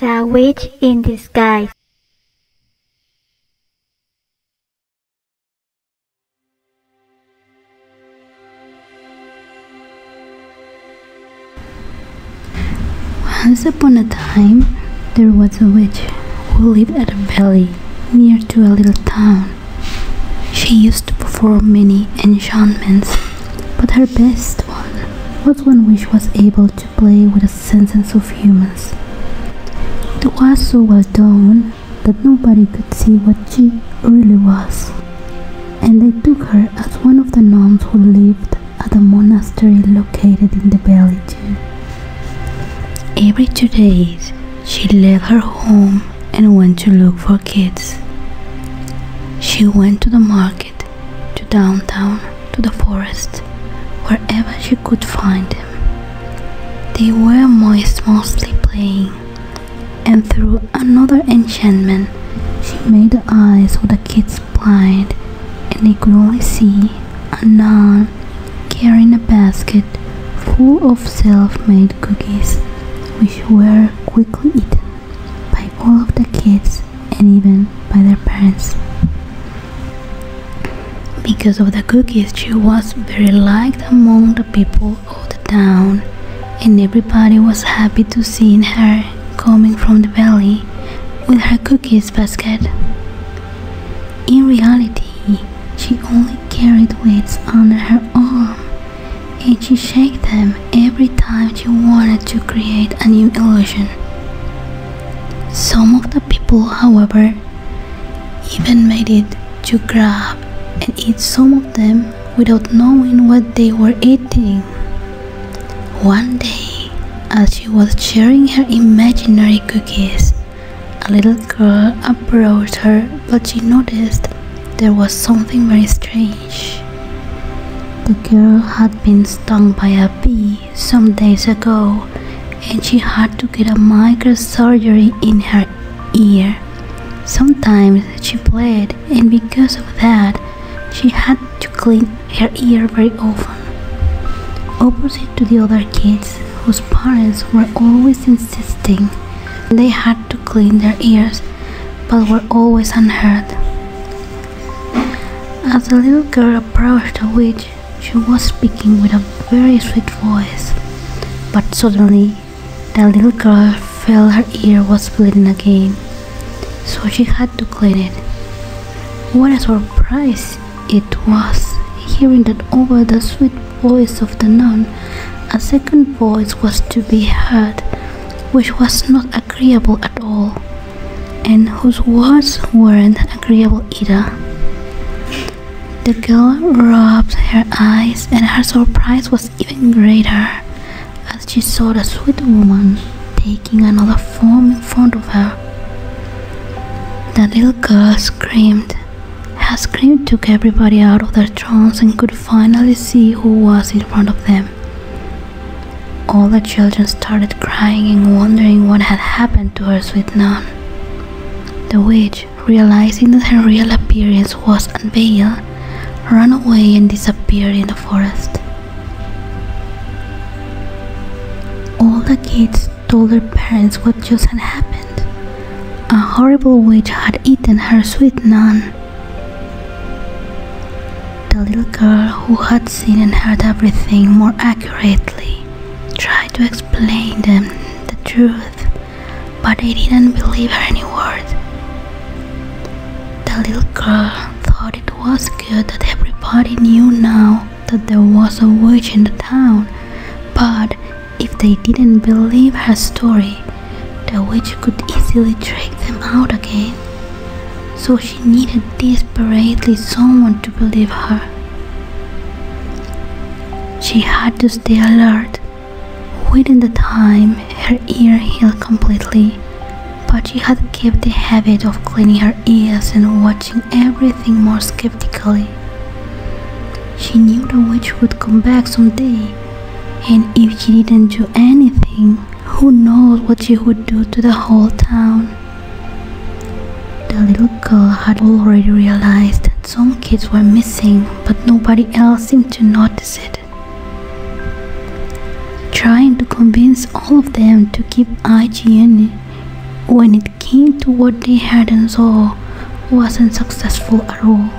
The Witch in Disguise once upon a time, there was a witch who lived at a valley near to a little town. She used to perform many enchantments, but her best one was one which was able to play with the senses of humans. It was so well done that nobody could see what she really was. And they took her as one of the nuns who lived at the monastery located in the valley. Every two days, she left her home and went to look for kids. She went to the market, to downtown, to the forest, wherever she could find them. They were moist mostly playing, and through another enchantment, she made the eyes of the kids blind, and they could only see a nun carrying a basket full of self-made cookies, which were quickly eaten by all of the kids and even by their parents. Because of the cookies, she was very liked among the people of the town, and everybody was happy to see her coming from the valley with her cookies basket. In reality, she only carried weights under her arm, and she shook them every time she wanted to create a new illusion. Some of the people, however, even made it to grab and eat some of them without knowing what they were eating. One day, as she was sharing her imaginary cookies, a little girl approached her but she noticed there was something very strange. The girl had been stung by a bee some days ago and she had to get a microsurgery in her ear. Sometimes she played, and because of that she had to clean her ear very often. Opposite to the other kids whose parents were always insisting they had to clean their ears but were always unheard. As the little girl approached the witch, she was speaking with a very sweet voice, but suddenly the little girl felt her ear was bleeding again, so she had to clean it. What a surprise it was hearing that over the sweet voice of the nun, a second voice was to be heard, which was not agreeable at all and whose words weren't agreeable either. The girl rubbed her eyes, and her surprise was even greater as she saw the sweet woman taking another form in front of her. The little girl screamed. Her scream took everybody out of their trance and could finally see who was in front of them. All the children started crying and wondering what had happened to her sweet nun. The witch, realizing that her real appearance was unveiled, ran away and disappeared in the forest. All the kids told their parents what just had happened. A horrible witch had eaten her sweet nun. The little girl, who had seen and heard everything more accurately, tried to explain them the truth, but they didn't believe her any word. The little girl thought it was good that everybody knew now that there was a witch in the town, but if they didn't believe her story, the witch could easily trick them out again so she needed desperately someone to believe her. She had to stay alert, within the time her ear healed completely, but she had kept the habit of cleaning her ears and watching everything more skeptically. She knew the witch would come back someday, and if she didn't do anything, who knows what you would do to the whole town? The little girl had already realized that some kids were missing, but nobody else seemed to notice it. Trying to convince all of them to keep IGN when it came to what they had and saw wasn't successful at all.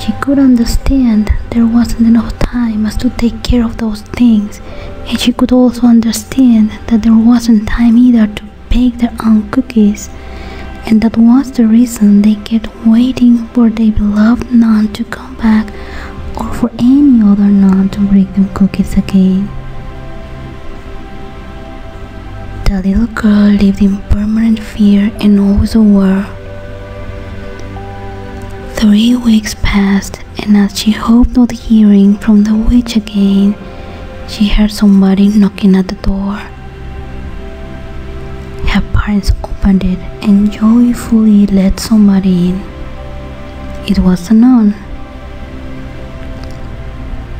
She could understand there wasn't enough time as to take care of those things, and she could also understand that there wasn't time either to bake their own cookies, and that was the reason they kept waiting for their beloved nun to come back or for any other nun to bring them cookies again. The little girl lived in permanent fear and always aware Three weeks passed, and as she hoped not hearing from the witch again, she heard somebody knocking at the door. Her parents opened it and joyfully let somebody in. It was the nun.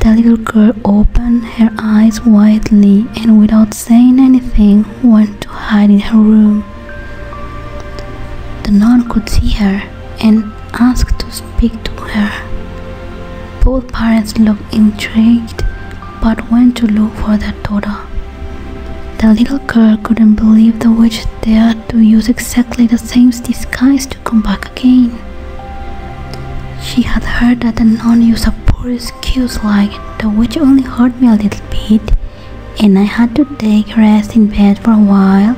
The little girl opened her eyes widely and without saying anything, went to hide in her room. The nun could see her and asked to speak to her. Both parents looked intrigued but went to look for their daughter. The little girl couldn't believe the witch dared to use exactly the same disguise to come back again. She had heard that the nun used a poison excuse like the witch only hurt me a little bit and I had to take rest in bed for a while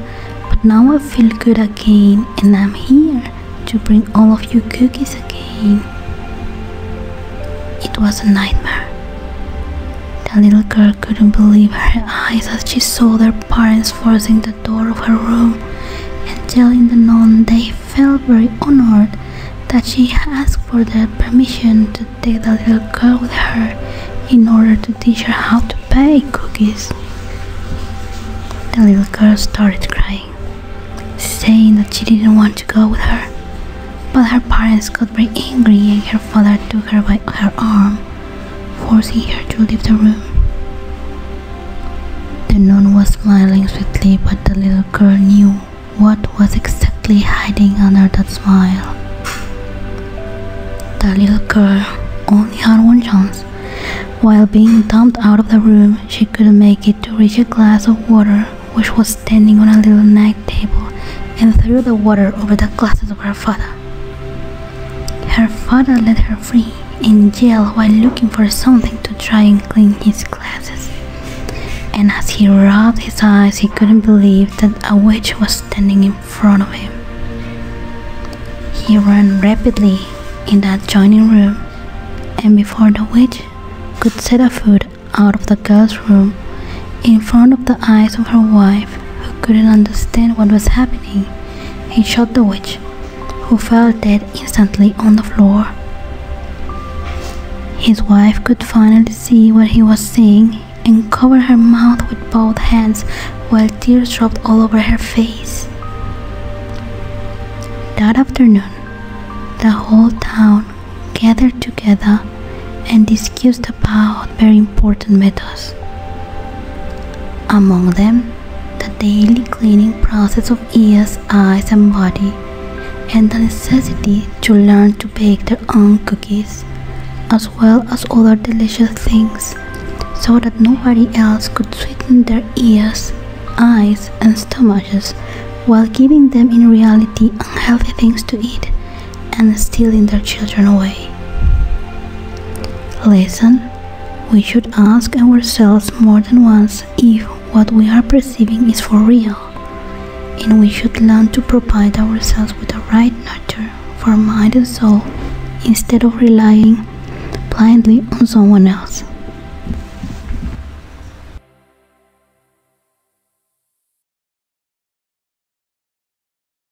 but now I feel good again and I'm here to bring all of you cookies again. It was a nightmare. The little girl couldn't believe her eyes as she saw their parents forcing the door of her room and telling the non they felt very honored that she asked for the permission to take the little girl with her in order to teach her how to bake cookies. The little girl started crying, saying that she didn't want to go with her. But her parents got very angry and her father took her by her arm, forcing her to leave the room. The nun was smiling sweetly, but the little girl knew what was exactly hiding under that smile. The little girl only had one chance. While being dumped out of the room, she couldn't make it to reach a glass of water which was standing on a little night table and threw the water over the glasses of her father. Her father let her free, in jail while looking for something to try and clean his glasses. And as he rubbed his eyes, he couldn't believe that a witch was standing in front of him. He ran rapidly in the adjoining room, and before the witch could set a foot out of the girl's room, in front of the eyes of her wife, who couldn't understand what was happening, he shot the witch who fell dead instantly on the floor. His wife could finally see what he was seeing and covered her mouth with both hands while tears dropped all over her face. That afternoon, the whole town gathered together and discussed about very important matters. Among them, the daily cleaning process of ears, eyes, and body, and the necessity to learn to bake their own cookies as well as other delicious things so that nobody else could sweeten their ears, eyes, and stomachs while giving them in reality unhealthy things to eat and stealing their children away. Listen, We should ask ourselves more than once if what we are perceiving is for real, and we should learn to provide ourselves with the right nurture for mind and soul instead of relying blindly on someone else.